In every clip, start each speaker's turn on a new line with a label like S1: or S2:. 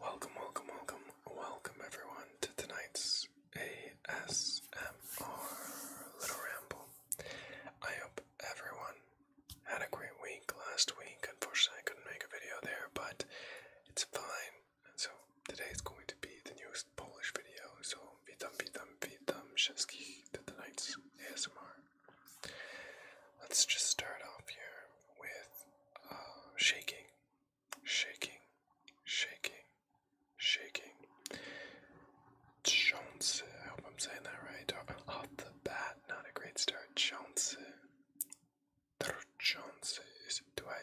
S1: Welcome, welcome, welcome, welcome everyone to tonight's ASMR Little Ramble. I hope everyone had a great week last week. Unfortunately, I couldn't make a video there, but it's fine. And so today is going to be the newest Polish video. So witam, witam, witam wszystkich to tonight's ASMR. Let's just start off here with shaking, shaking, shaking, shaking. Chance, I hope I'm saying that right. Off the bat, not a great start. Chance. Chance. Do I?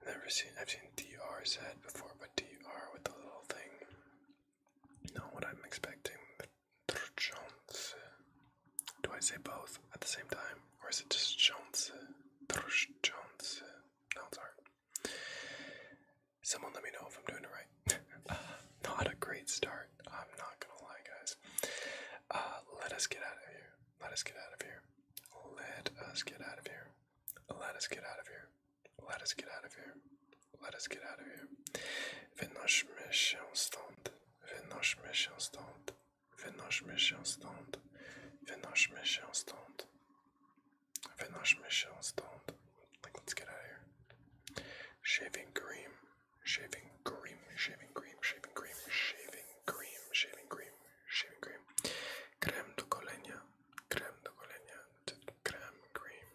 S1: I've never seen. I've seen DR said before, but DR with the little thing. Not what I'm expecting. Drżący. Do I say both at the same time? Or is it just drżący? Drżący. No, sorry. Someone let me know if I'm doing it right. not a great start. I'm not gonna lie, guys. Uh, let us get out of here. Let us get out of here. Let us get out of here. Let us get out of here. Let us get out of here. Let us get out of here. Wynośmy się stąd. Wynośmy się stąd. Wynośmy się stąd. Wynośmy się stąd. Wynośmy się stąd. Like, let's get out of here. Shaving cream. Shaving cream. Shaving cream. Shaving cream. Shaving cream. Shaving cream. Shaving cream. Krem do golenia. Krem do golenia. Krem cream.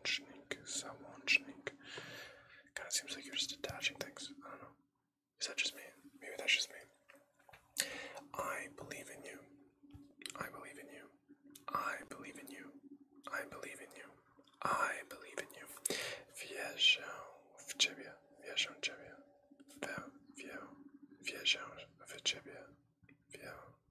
S1: Samochnik, Samochnik. Kind of seems like you're just attaching things. I don't know. Is that just me? Maybe that's just me. I believe in you. I believe in you. I believe in you. I believe in you. I believe in you. Wierzę w ciebie. Wierzę w ciebie. Wierzę w ciebie. Wierzę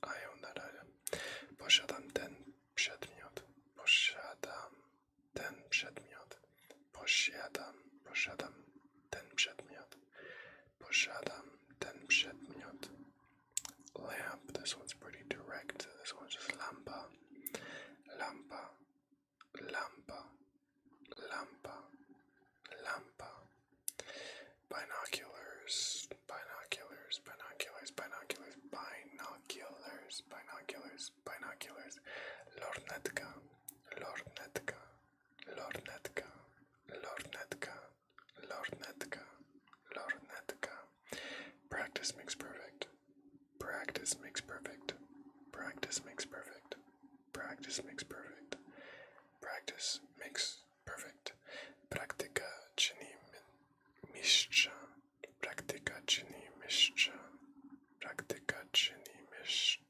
S1: a ją na ten przedmiot. Posiadam ten przedmiot. Posiadam, posiadam ten przedmiot. Posiadam ten przedmiot. Lamp. This one's pretty direct. This one's just lampa. Lampa. Lampa. Lampa. Lampa. Binoculars, binoculars, binoculars, binoculars, binoculars, binoculars, binoculars, lornetka, lornetka, lornetka, lornetka, lornetka, lornetka. Practice makes perfect. Practice makes perfect. Practice makes perfect. Practice makes perfect. Practice makes Perfect. Praktyka czyni mistrza. Praktyka czyni mistrza. Praktyka czyni mistrza.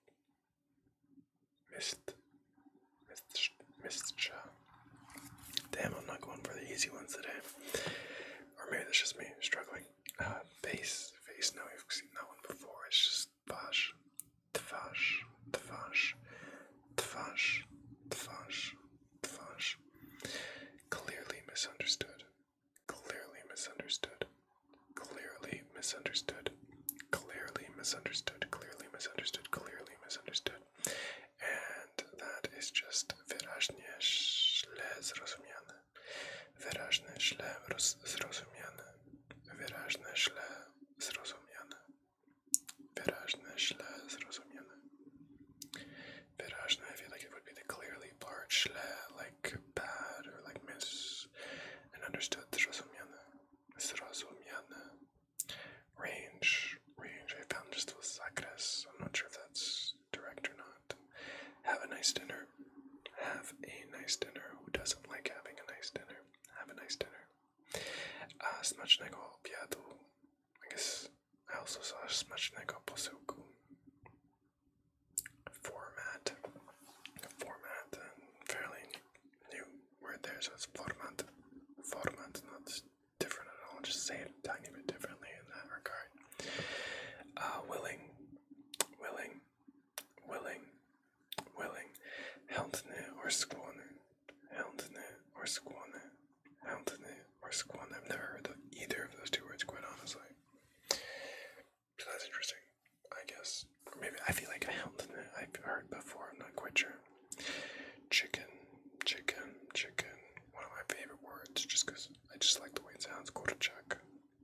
S1: Mist. Mist. Mistrza. Damn, I'm not going for the easy ones today. Or maybe that's just me struggling. Uh, face. Face. Now we've seen that one before. It's just twarz. Twarz. Twarz twarz, twarz, twarz. Clearly misunderstood. Clearly misunderstood. Clearly misunderstood. Clearly misunderstood. Clearly misunderstood. Clearly misunderstood. And that is just wyraźnie źle zrozumiane. Wyraźnie źle zrozumiane. Wyraźnie źle zrozumiane. Wyraźne, źle zrozumiane. Wyraźne, I feel like it would be the clearly part, źle, like bad or like miss, and understood, zrozumiane, zrozumiane. Range, range, I found just was zakres, I'm not sure if that's direct or not. Have a nice dinner. Have a nice dinner. Who doesn't like having a nice dinner? Have a nice dinner. As much as I, I guess I also saw as as much smacznego posiłku. Format. Format, uh, fairly new word there, so it's format. Format, not different I'll just say it a tiny bit differently in that regard. Ah, willing, willing, willing, Welling, Houndne or Squanen, Houndne or Squanen, Houndne or Squanen. I've never heard either of those two words, quite honestly. So that's interesting, I guess. maybe I feel like Houndne I've heard before, I'm not quite sure. Chicken, chicken, chicken. One of my favorite words, just because I just like the way it sounds. Korchak,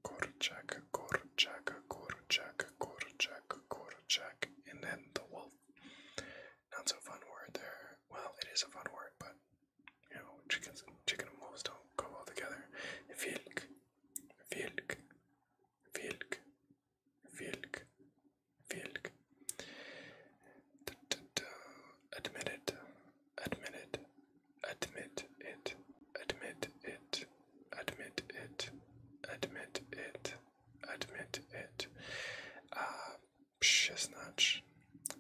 S1: Korchak, Korchak, a Korchak, a and then the wolf. Not so fun word there. Well, it is a fun word, but you know, chickens, chicken and wolves don't go well together. Vilk, vilk, vilk, vilk, vilk. admit it, admit it, admit it, admit it admit it, admit it, admit it. Uh, Pshiznach,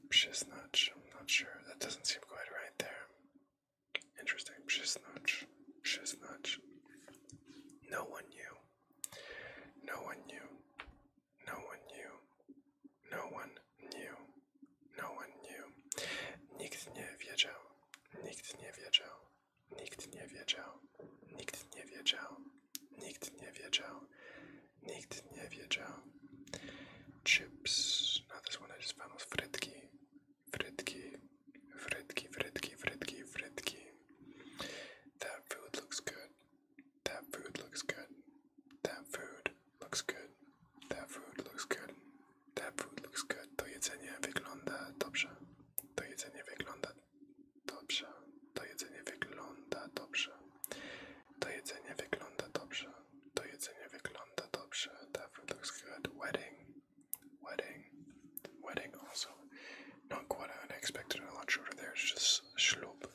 S1: Pshiznach, I'm not sure. That doesn't seem quite right there. Interesting. Pshiznach, Pshiznach. No one knew. No one knew. No one knew. No one knew. No one knew. Nikt nie wiedział. Nikt nie wiedział. Nikt nie wiedział. Nikt nie wiedział. Nikt nie wiedział. Nikt nie wiedział. Chips. Now this one is famous. Frytki. Frytki. Frytki, frytki, frytki, frytki. That food looks good. That food looks good. That food looks good. That food looks good. That food looks good. To jedzenie wygląda dobrze. To jedzenie wygląda dobrze. To jedzenie wygląda dobrze. To jedzenie wygląda dobrze. To jedzenie wygląda dobrze. That food looks good. Wedding. Wedding. Wedding also. Not quite unexpected and a lot shorter there. It's just schloop.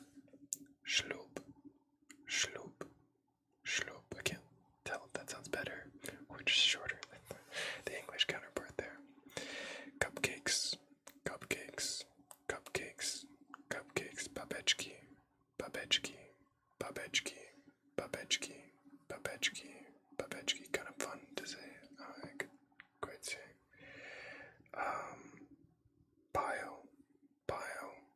S1: Schloop. Schloop. Schlope. I can't tell if that sounds better or just shorter. the English counterpart there. Cupcakes, cupcakes, cupcakes, cupcakes. Babechki, babechki, babechki, babechki, babechki, babechki. Kind of fun to say. I could quite say. Um, bio, bio,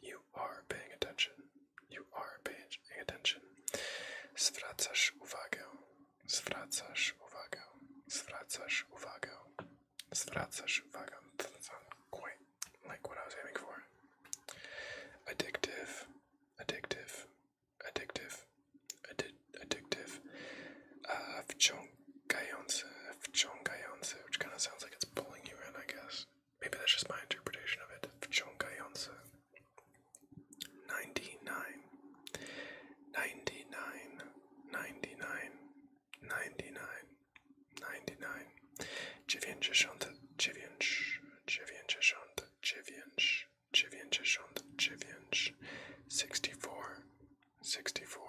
S1: You are paying attention. You are paying attention. Zwracasz uwagę. Zwracasz uwagę. Zwracasz uwagę. Zwracasz uwagę. That's not quite like what I was aiming for. Addictive. Addictive. Addictive. Addi addictive. Uh, wciągający. Wciągający, which kind of sounds like it's pulling you in, I guess. Maybe that's just my interpretation of it. Wciągające. 99. 99. 99. 99. 99. 99. 99. 99. 99. 64. 64.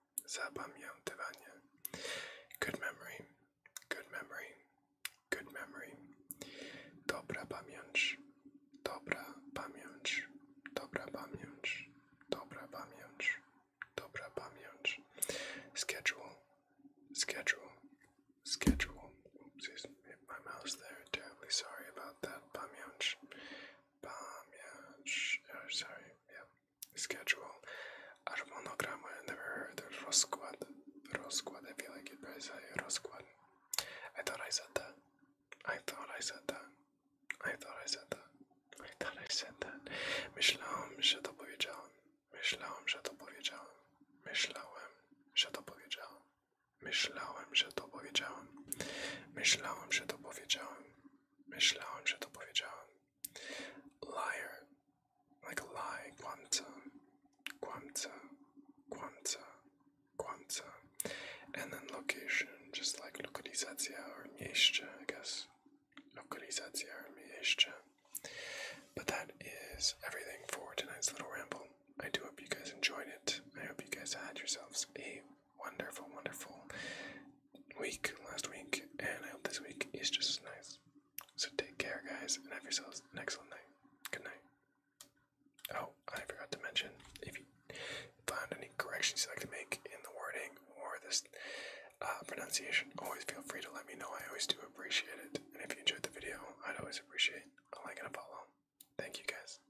S1: Zapamiętywanie. Good memory. Good memory. Good memory. Dobra pamięć. Dobra pamięć. Dobra pamięć. Dobra pamięć. Dobra pamięć. Schedule. Schedule. Schedule. Oopsies. Hit my mouse there. Terribly sorry about that. Pamięć. Pamięć. Oh, sorry. Yeah. schedule, aż monogram, I never heard rozkład, rozkład, I feel like it, but I I thought I said that, I thought I said that, I thought I said that, I thought I said that, myślałem, że to powiedziałem, myślałem, że to powiedziałem, myślałem, że to powiedziałem, myślałem, że to powiedziałem, myślałem, że to powiedziałem, Myślałem, że to powiedziałem. Liar. Like a lie. Kłamca. Kłamca. Kłamca. And then location. Just like lokalizacja or mieście, I guess. Lokalizacja or mieście. But that is everything for tonight's little ramble. I do hope you guys enjoyed it. I hope you guys had yourselves a wonderful, wonderful week last week, and I hope this week is just as nice. So take care, guys, and have yourselves an excellent night. Good night. Oh, I forgot to mention if you find any corrections you'd like to make in the wording or this uh, pronunciation, always feel free to let me know. I always do appreciate it. And if you enjoyed the video, I'd always appreciate a like and a follow. Thank you, guys.